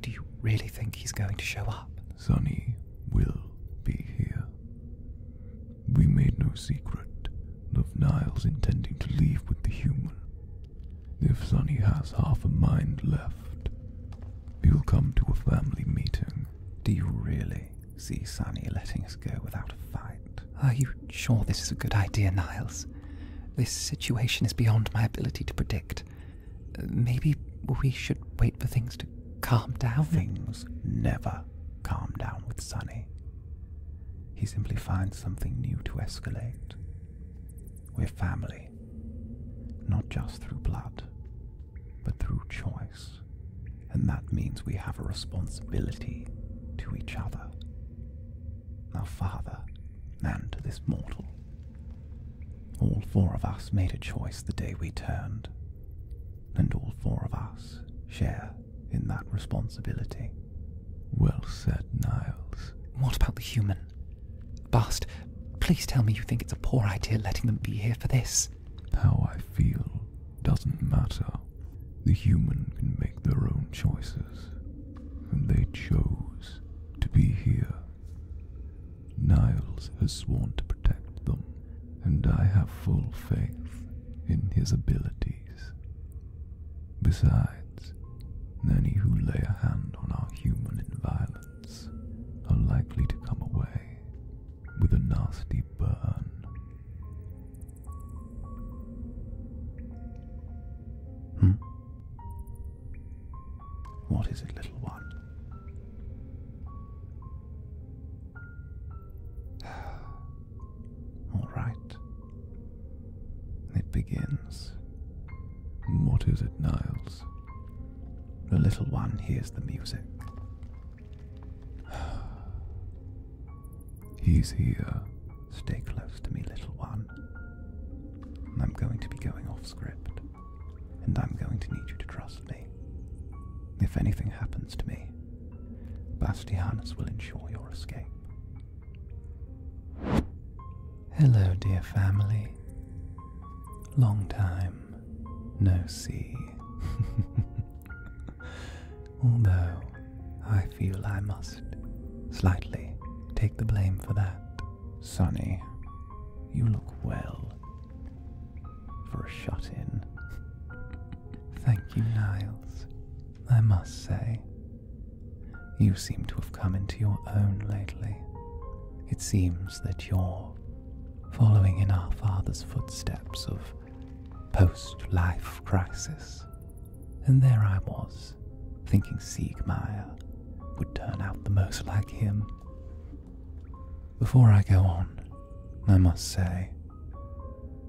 Do you really think he's going to show up? Sonny will be here. We made no secret of Niles intending to leave with the human. If Sonny has half a mind left, we will come to a family meeting. Do you really see Sonny letting us go without a fight? Are you sure this is a good idea, Niles? This situation is beyond my ability to predict. Maybe we should wait for things to calm down. Things never calm down with Sonny. He simply finds something new to escalate. We're family, not just through blood, but through choice and that means we have a responsibility to each other, our father, and to this mortal. All four of us made a choice the day we turned, and all four of us share in that responsibility. Well said, Niles. What about the human? Bast, please tell me you think it's a poor idea letting them be here for this. How I feel doesn't matter. The human can make their own choices, and they chose to be here. Niles has sworn to protect them, and I have full faith in his abilities. Besides, any who lay a hand on our human in violence are likely to come away with a nasty burn Hmm? What is it, little one? All right. It begins. What is it, Niles? The little one hears the music He's here. Stay close to me, little one. I'm going to be going off script, and I'm going to need you to trust me. If anything happens to me, Bastianus will ensure your escape. Hello, dear family. Long time no see. although I feel I must slightly take the blame for that. Sonny, you look well for a shut in. Thank you, Niles. I must say, you seem to have come into your own lately. It seems that you're following in our father's footsteps of post life crisis. And there I was, thinking Siegmeier would turn out the most like him. Before I go on, I must say,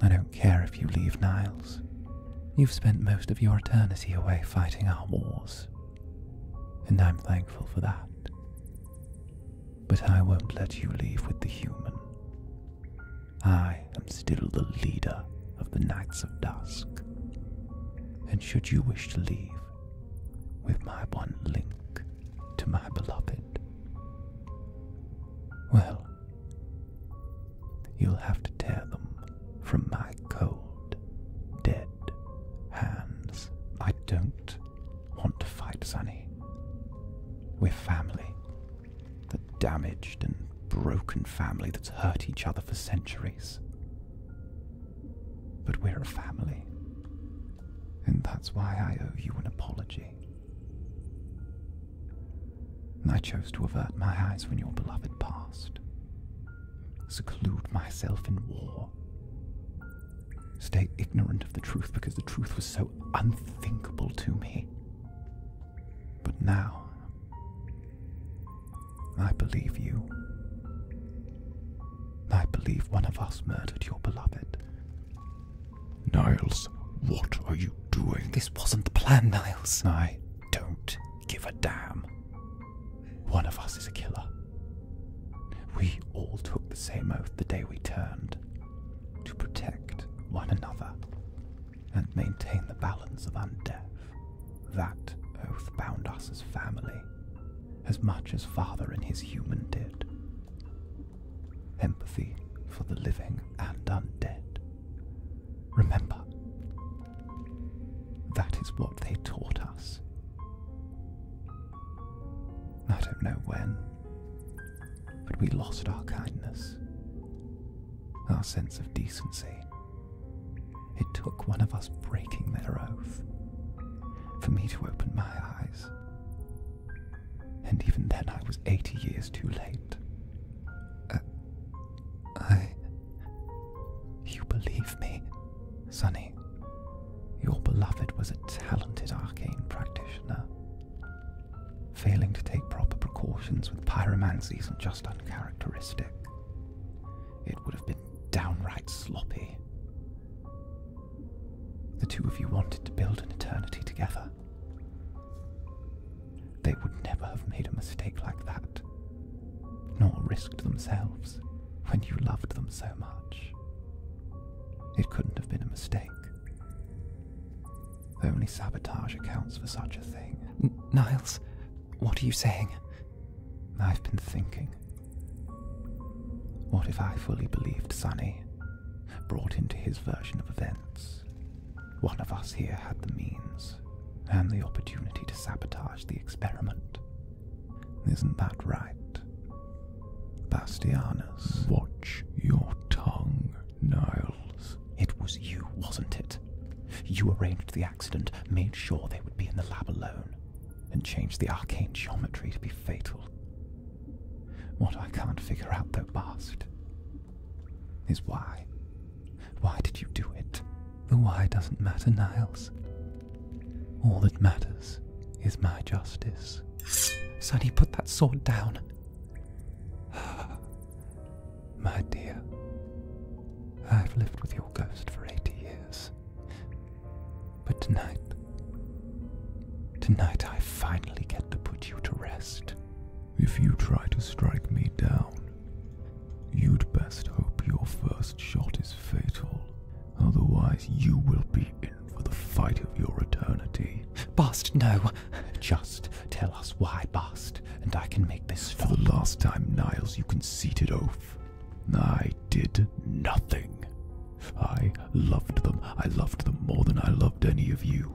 I don't care if you leave Niles. You've spent most of your eternity away fighting our wars, and I'm thankful for that. But I won't let you leave with the human. I am still the leader of the Knights of Dusk. And should you wish to leave with my one link to my beloved, well, you'll have to tear them from my cold, dead hands. I don't want to fight Sunny. We're family. The damaged and broken family that's hurt each other for centuries. But we're a family. And that's why I owe you an apology. I chose to avert my eyes when your beloved passed. seclude myself in war, stay ignorant of the truth because the truth was so unthinkable to me. But now, I believe you. I believe one of us murdered your beloved. Niles, what are you doing? This wasn't the plan, Niles. I don't give a damn. One of us is a killer. We all took the same oath the day we turned to protect one another and maintain the balance of undeath. That oath bound us as family, as much as father and his human did. Empathy for the living and undead. Remember, that is what they taught us. I don't know when, but we lost our kindness, our sense of decency. It took one of us breaking their oath for me to open my eyes. And even then, I was 80 years too late. Uh, I. You believe me, Sonny? Your beloved was a talented arcane practitioner. Failing to take proper precautions with pyromancy isn't just uncharacteristic, it would have been downright sloppy. The two of you wanted to build an eternity together. They would never have made a mistake like that, nor risked themselves when you loved them so much. It couldn't have been a mistake. Only sabotage accounts for such a thing. Niles, what are you saying? I've been thinking. What if I fully believed Sonny, brought into his version of events? One of us here had the means and the opportunity to sabotage the experiment. Isn't that right? Bastianus. Watch your tongue, Niles. It was you, wasn't it? You arranged the accident, made sure they would be in the lab alone, and changed the arcane geometry to be fatal. What I can't figure out, though, Bast, is why. Why did you do it? The why doesn't matter, Niles. All that matters is my justice. Sonny, put that sword down. my dear, I've lived with your ghost for 80 years. But tonight, tonight I finally get to put you to rest. If you try to strike me down, you'd best hope your first shot is fatal. Otherwise, you will be in for the fight of your eternity. Bast, no. Just tell us why, Bast, and I can make this For the last time, Niles, you conceited oaf! I did nothing. I loved them. I loved them more than I loved any of you.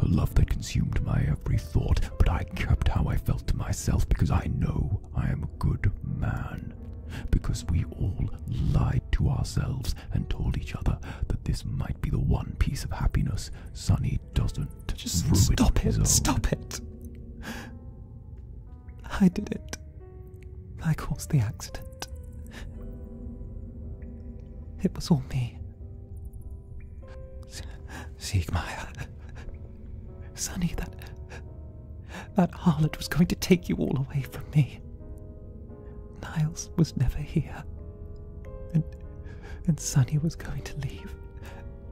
A love that consumed my every thought, but I kept how I felt to myself because I know I am a good man because we all lied to ourselves and told each other that this might be the one piece of happiness Sonny doesn't ruin stop his it own. stop it I did it I caused the accident it was all me Siegmeier Sonny that that harlot was going to take you all away from me. Niles was never here. And, and Sunny was going to leave.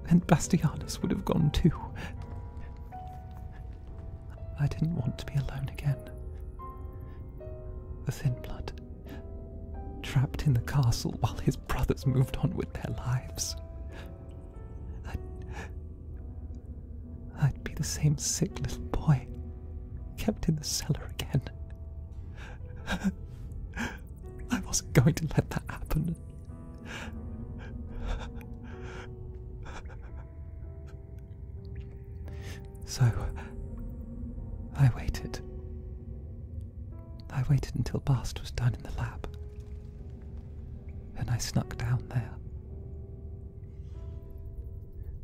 And Bastianus would have gone too. I didn't want to be alone again. The thin blood, trapped in the castle while his brothers moved on with their lives. I'd be the same sick little boy, kept in the cellar again. I wasn't going to let that happen. So, I waited. I waited until Bast was done in the lab. And I snuck down there.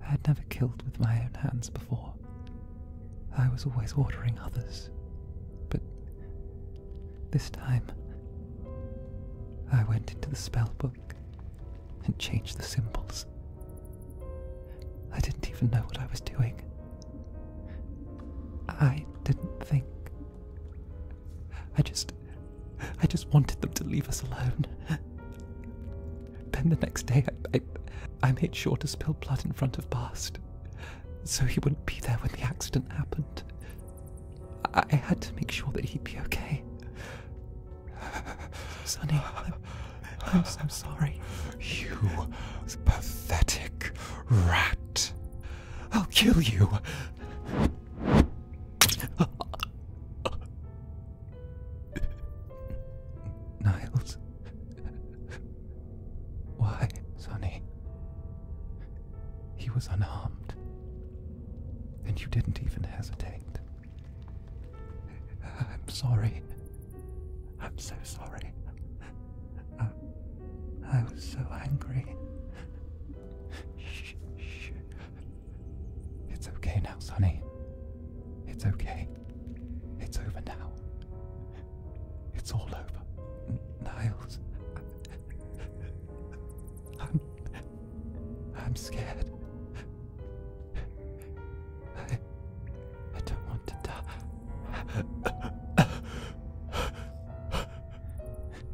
I had never killed with my own hands before. I was always ordering others. But this time, I went into the spell book and changed the symbols. I didn't even know what I was doing. I didn't think I just. I just wanted them to leave us alone. Then the next day, I, I, made sure to spill blood in front of Bast, so he wouldn't be there when the accident happened. I, I had to make sure that he'd be okay. Sonny, I'm, I'm so sorry. You pathetic rat. I'll kill you. Niles. Why, Sonny? He was unharmed. And you didn't even hesitate. I'm sorry. I'm so sorry. I was so angry. It's okay now, Sonny. It's okay. It's over now. It's all over. N Niles. I'm. I'm scared. I. I don't want to die.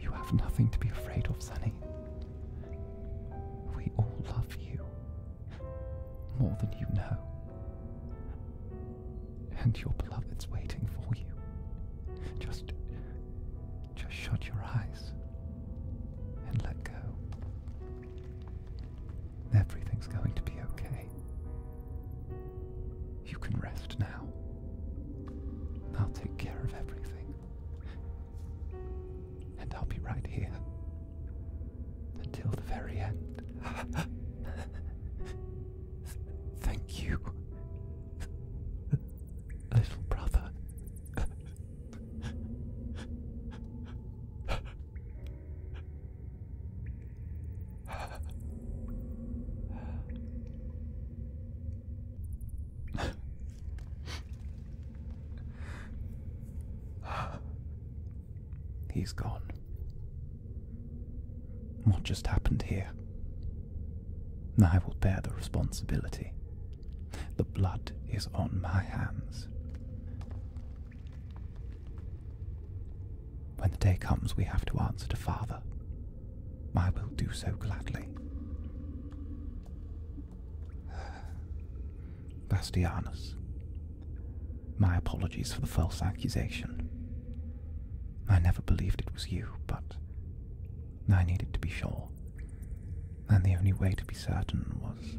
You have nothing to be afraid of, Sunny. We all love you more than you know. And your beloved's waiting for you. Just just shut your eyes and let go. Everything's going to be okay. You can rest now. I'll take care of everything. And I'll be right here. Until the very end. Thank you, little brother. He's gone. What just happened here? I will bear the responsibility. The blood is on my hands. When the day comes, we have to answer to Father. I will do so gladly. Bastianus, my apologies for the false accusation. I never believed it was you, but I needed to be sure. And the only way to be certain was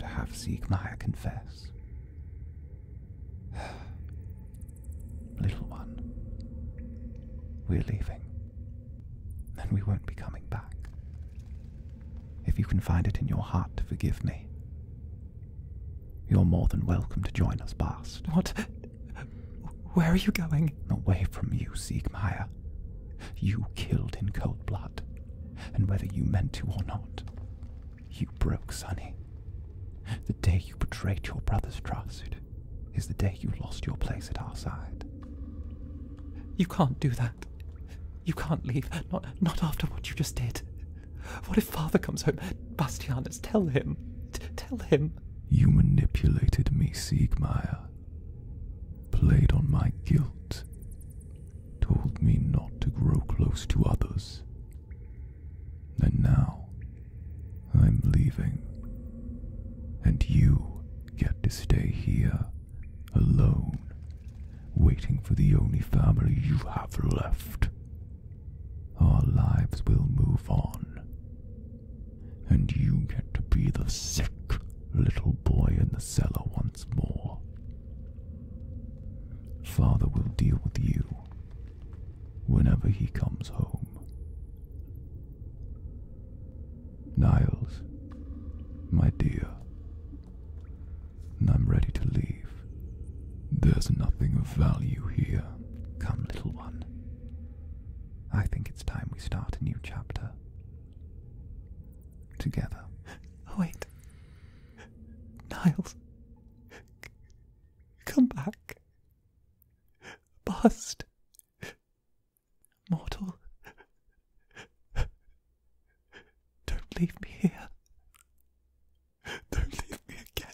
to have Siegmeier confess. Little one, we're leaving, and we won't be coming back. If you can find it in your heart to forgive me, you're more than welcome to join us, Bast. What? Where are you going? Away from you, Siegmeier. You killed in cold blood, and whether you meant to or not, you broke Sonny. The day you betrayed your brother's trust is the day you lost your place at our side. You can't do that. You can't leave, not, not after what you just did. What if father comes home? Bastianus, tell him. tell him. You manipulated me, Siegmeier. Played on my guilt. Told me not to grow close to others and now I'm leaving, and you get to stay here alone, waiting for the only family you have left. Our lives will move on, and you get to be the sick little boy in the cellar once more. Father will deal with you whenever he comes home. Niles, my dear, I'm ready to leave. There's nothing of value here. Come, little one. I think it's time we start a new chapter. Together. Oh, wait. Niles. come back. Bust. Mortal. Don't leave me here. Don't leave me again.